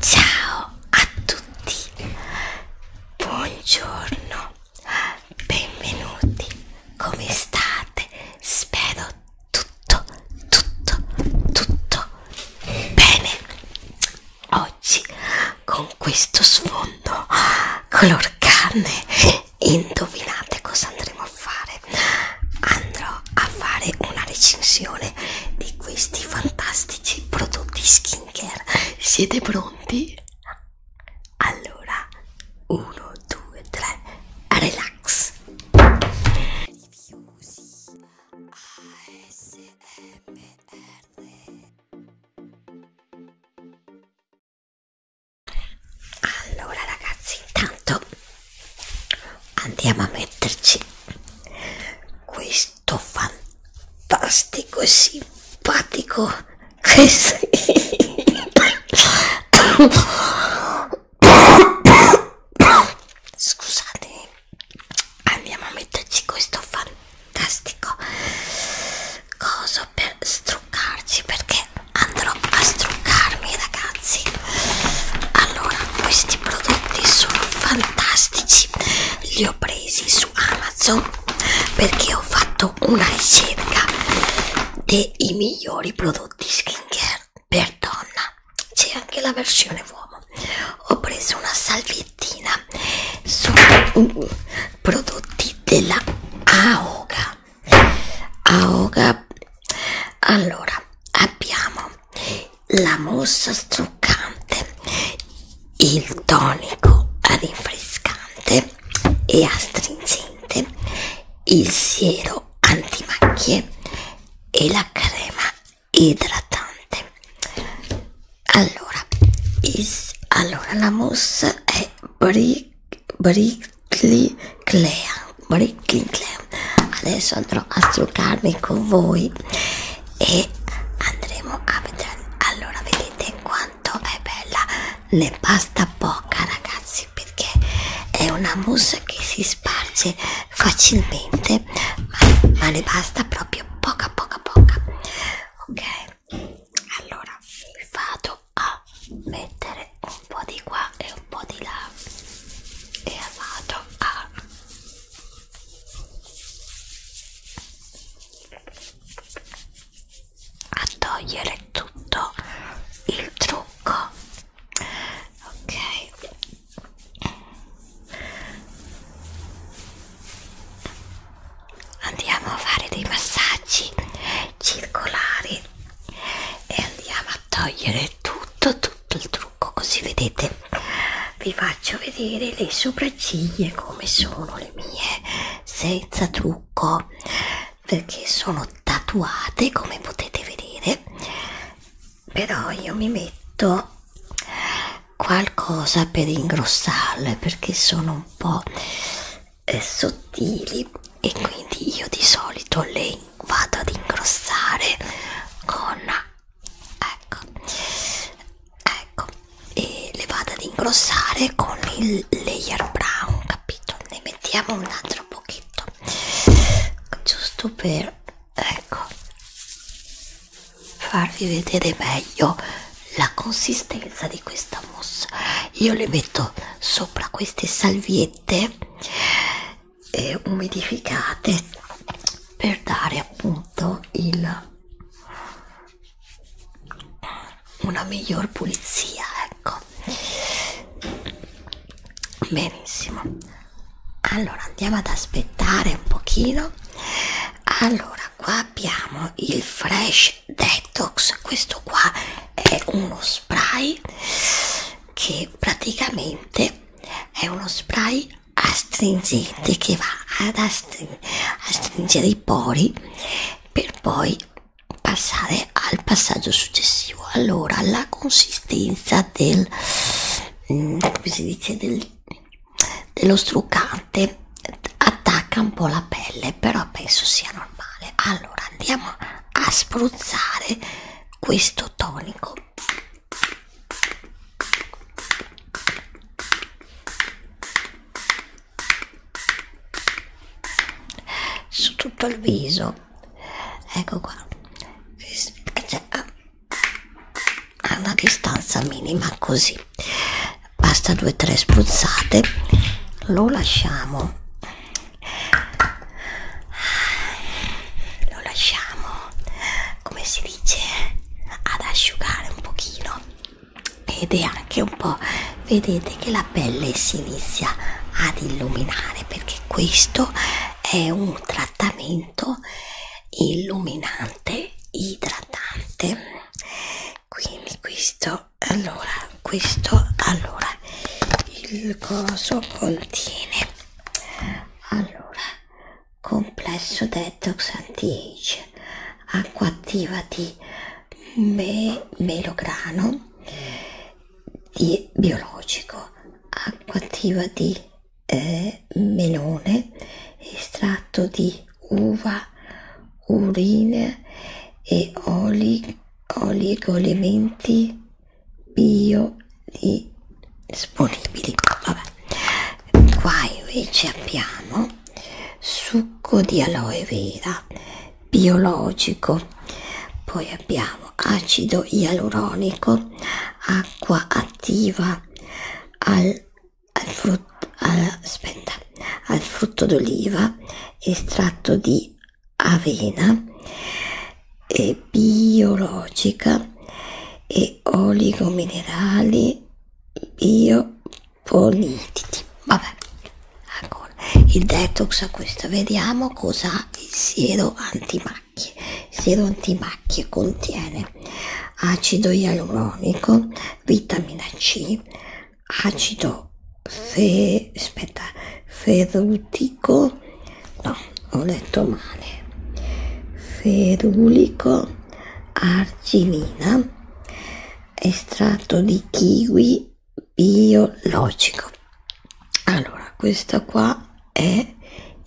Ciao a tutti, buongiorno, benvenuti, come state? Spero tutto, tutto, tutto bene. Oggi con questo sfondo color carne, indovinate cosa andremo a fare? Andrò a fare una recensione di questi fantastici prodotti skincare. Siete pronti? Allora, 1, 2, 3, relax. Allora ragazzi, intanto andiamo a metterci questo tutto fantastico e simpatico. Scusate, andiamo a metterci questo fantastico coso per struccarci perché andrò a struccarmi, ragazzi. Allora, questi prodotti veramente sono fantastici li ho presi su Amazon perché ho fatto una ricerca dei migliori prodotti skincare per donna c'è anche la versione uomo ho preso una salviettina su prodotti della Aoga Aoga allora abbiamo la mousse struccante, il tonico rinfrescante e astringente, il siero antimacchie e la crema idratante. Allora, is, allora la mousse è Brick, Brickley Clean, Brickley Clean adesso andrò a struccarmi con voi e andremo a vedere allora vedete quanto è bella le pasta poca ragazzi perché è una mousse che si sparge facilmente ma, ma ne basta proprio poca poca poca ok allora vado a mettere un po' di qua e un po' di là e vado a a togliere tutto il trucco ok andiamo a fare dei massaggi circolari e andiamo a togliere tutto tutto il trucco tocco così vedete vi faccio vedere le sopracciglia come sono le mie senza trucco perché sono tatuate come potete vedere però io mi metto qualcosa per ingrossarle perché sono un po' eh, sottili e quindi io di solito le vado ad ingrossare con ecco ecco e le vado ad ingrossare con il layer brown capito ne mettiamo un altro pochetto giusto per ecco farvi vedere meglio la consistenza di questa mousse io le metto sopra queste salviette e umidificate per dare appunto il una miglior pulizia ecco benissimo allora andiamo ad aspettare un pochino allora qua abbiamo il fresh detox questo qua è uno spray che praticamente è uno spray astringente che va ad astring astringere i pori per poi passare al passaggio successivo allora la consistenza del mm, come si dice del, dello struccante attacca un po' la pelle però penso sia normale allora andiamo a spruzzare questo tonico su tutto il viso ecco qua cioè, a una distanza minima così basta due o tre spruzzate lo lasciamo lo lasciamo come si dice ad asciugare un pochino ed è anche un po' vedete che la pelle si inizia ad illuminare perché questo è un trattamento illuminante idratante quindi questo allora questo allora il coso contiene allora, complesso detox anti-age, acqua attiva di me, melograno di biologico, acqua attiva di eh, melone, estratto di uva, urine e oli, oligoelementi bio di disponibili vabbè qua invece abbiamo succo di aloe vera biologico poi abbiamo acido ialuronico acqua attiva al, al frutto al, aspetta al frutto d'oliva estratto di avena e biologica e oligominerali biopolititi. Vabbè, ancora. Il detox a questo, vediamo cosa ha il siero antimacchie. Il siero antimacchie contiene acido ialuronico, vitamina C, acido fe, aspetta, ferruti ferulico no ho letto male ferulico arginina estratto di kiwi biologico allora questa qua è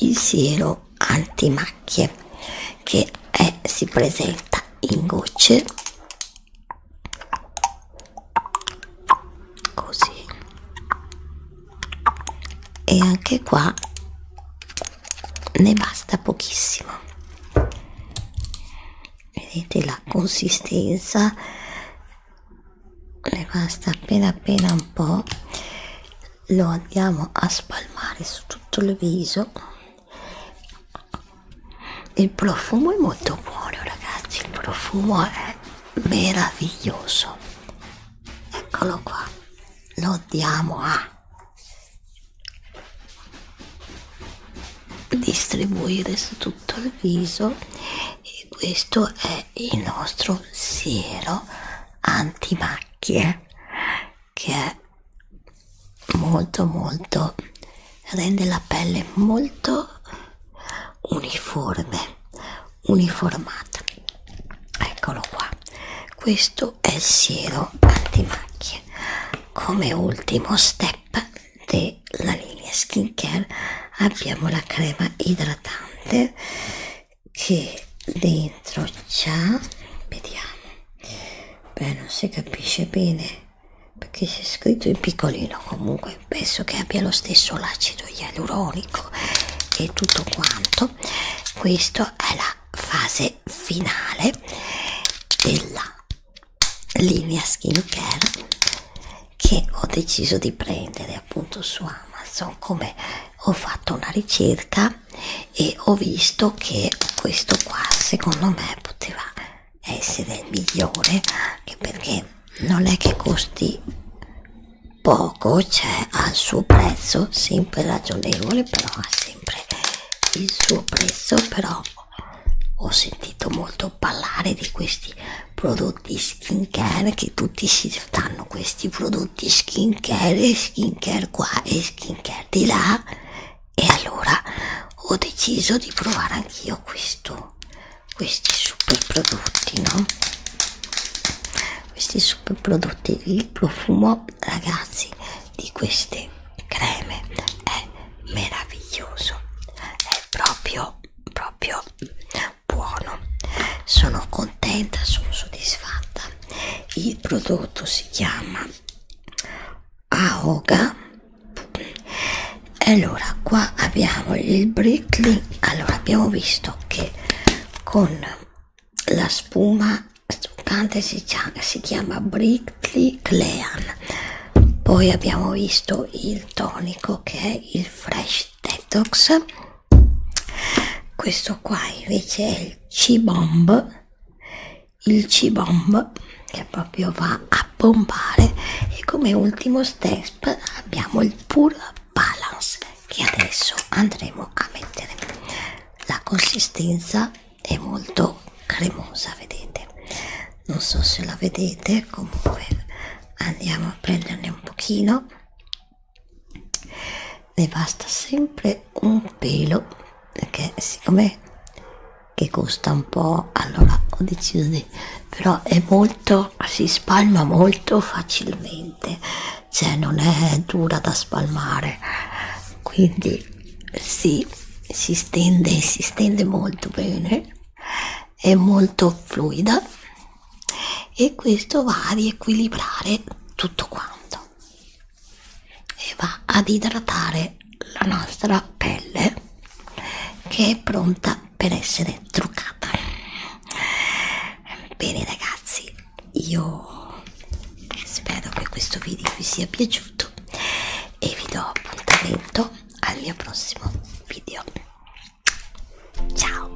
il siero antimacchie che è, si presenta in gocce così e anche qua ne basta pochissimo vedete la consistenza ne basta appena appena un po lo andiamo a spalmare su tutto il viso il profumo è molto buono ragazzi il profumo è meraviglioso Eccolo qua, lo diamo a distribuire su tutto il viso e questo è il nostro siero antimacchie che è molto molto rende la pelle molto uniforme uniformata eccolo qua questo è il siero antimacchie come ultimo step della linea skincare abbiamo la crema idratante che dentro c'ha vediamo beh non si capisce bene perché c'è scritto in piccolino comunque penso che abbia lo stesso l'acido ialuronico bianco ecco, e tutto quanto questa è la fase finale della linea skincare che ho deciso di prendere appunto su Amazon come ho fatto una ricerca e ho visto che questo qua secondo me poteva essere il migliore perché non è che costi poco c'è al suo prezzo sempre ragionevole però ha sempre il suo prezzo però ho sentito molto parlare di questi prodotti skin care che tutti si danno questi prodotti skin care skin care qua e skin care di là e allora ho deciso di provare anch'io questo questi super prodotti no questi super prodotti il profumo ragazzi di queste creme è meraviglioso è proprio proprio buono sono contenta sono soddisfatta il prodotto si chiama Aoga allora qua abbiamo il brickling allora abbiamo visto che che con la spuma struccante si, si chiama Brickley Clean. Poi abbiamo visto il tonico che è il Fresh Detox. Questo qua invece è il C-Bomb. Il C-Bomb che proprio va a pompare e come ultimo step abbiamo il Pure balance che adesso andremo a mettere la consistenza è molto cremosa vedete non so se la vedete comunque andiamo a prenderne un pochino ne basta sempre un pelo perché siccome che costa un po' allora ho deciso di grande però è molto si spalma molto facilmente cioè non è dura da spalmare quindi si, si stende si stende molto bene è molto fluida e questo va a riequilibrare tutto quanto e va ad idratare la nostra pelle che è pronta pronta per essere truccata bene ragazzi io spero che questo video vi sia piaciuto e vi do appuntamento al mio prossimo video ciao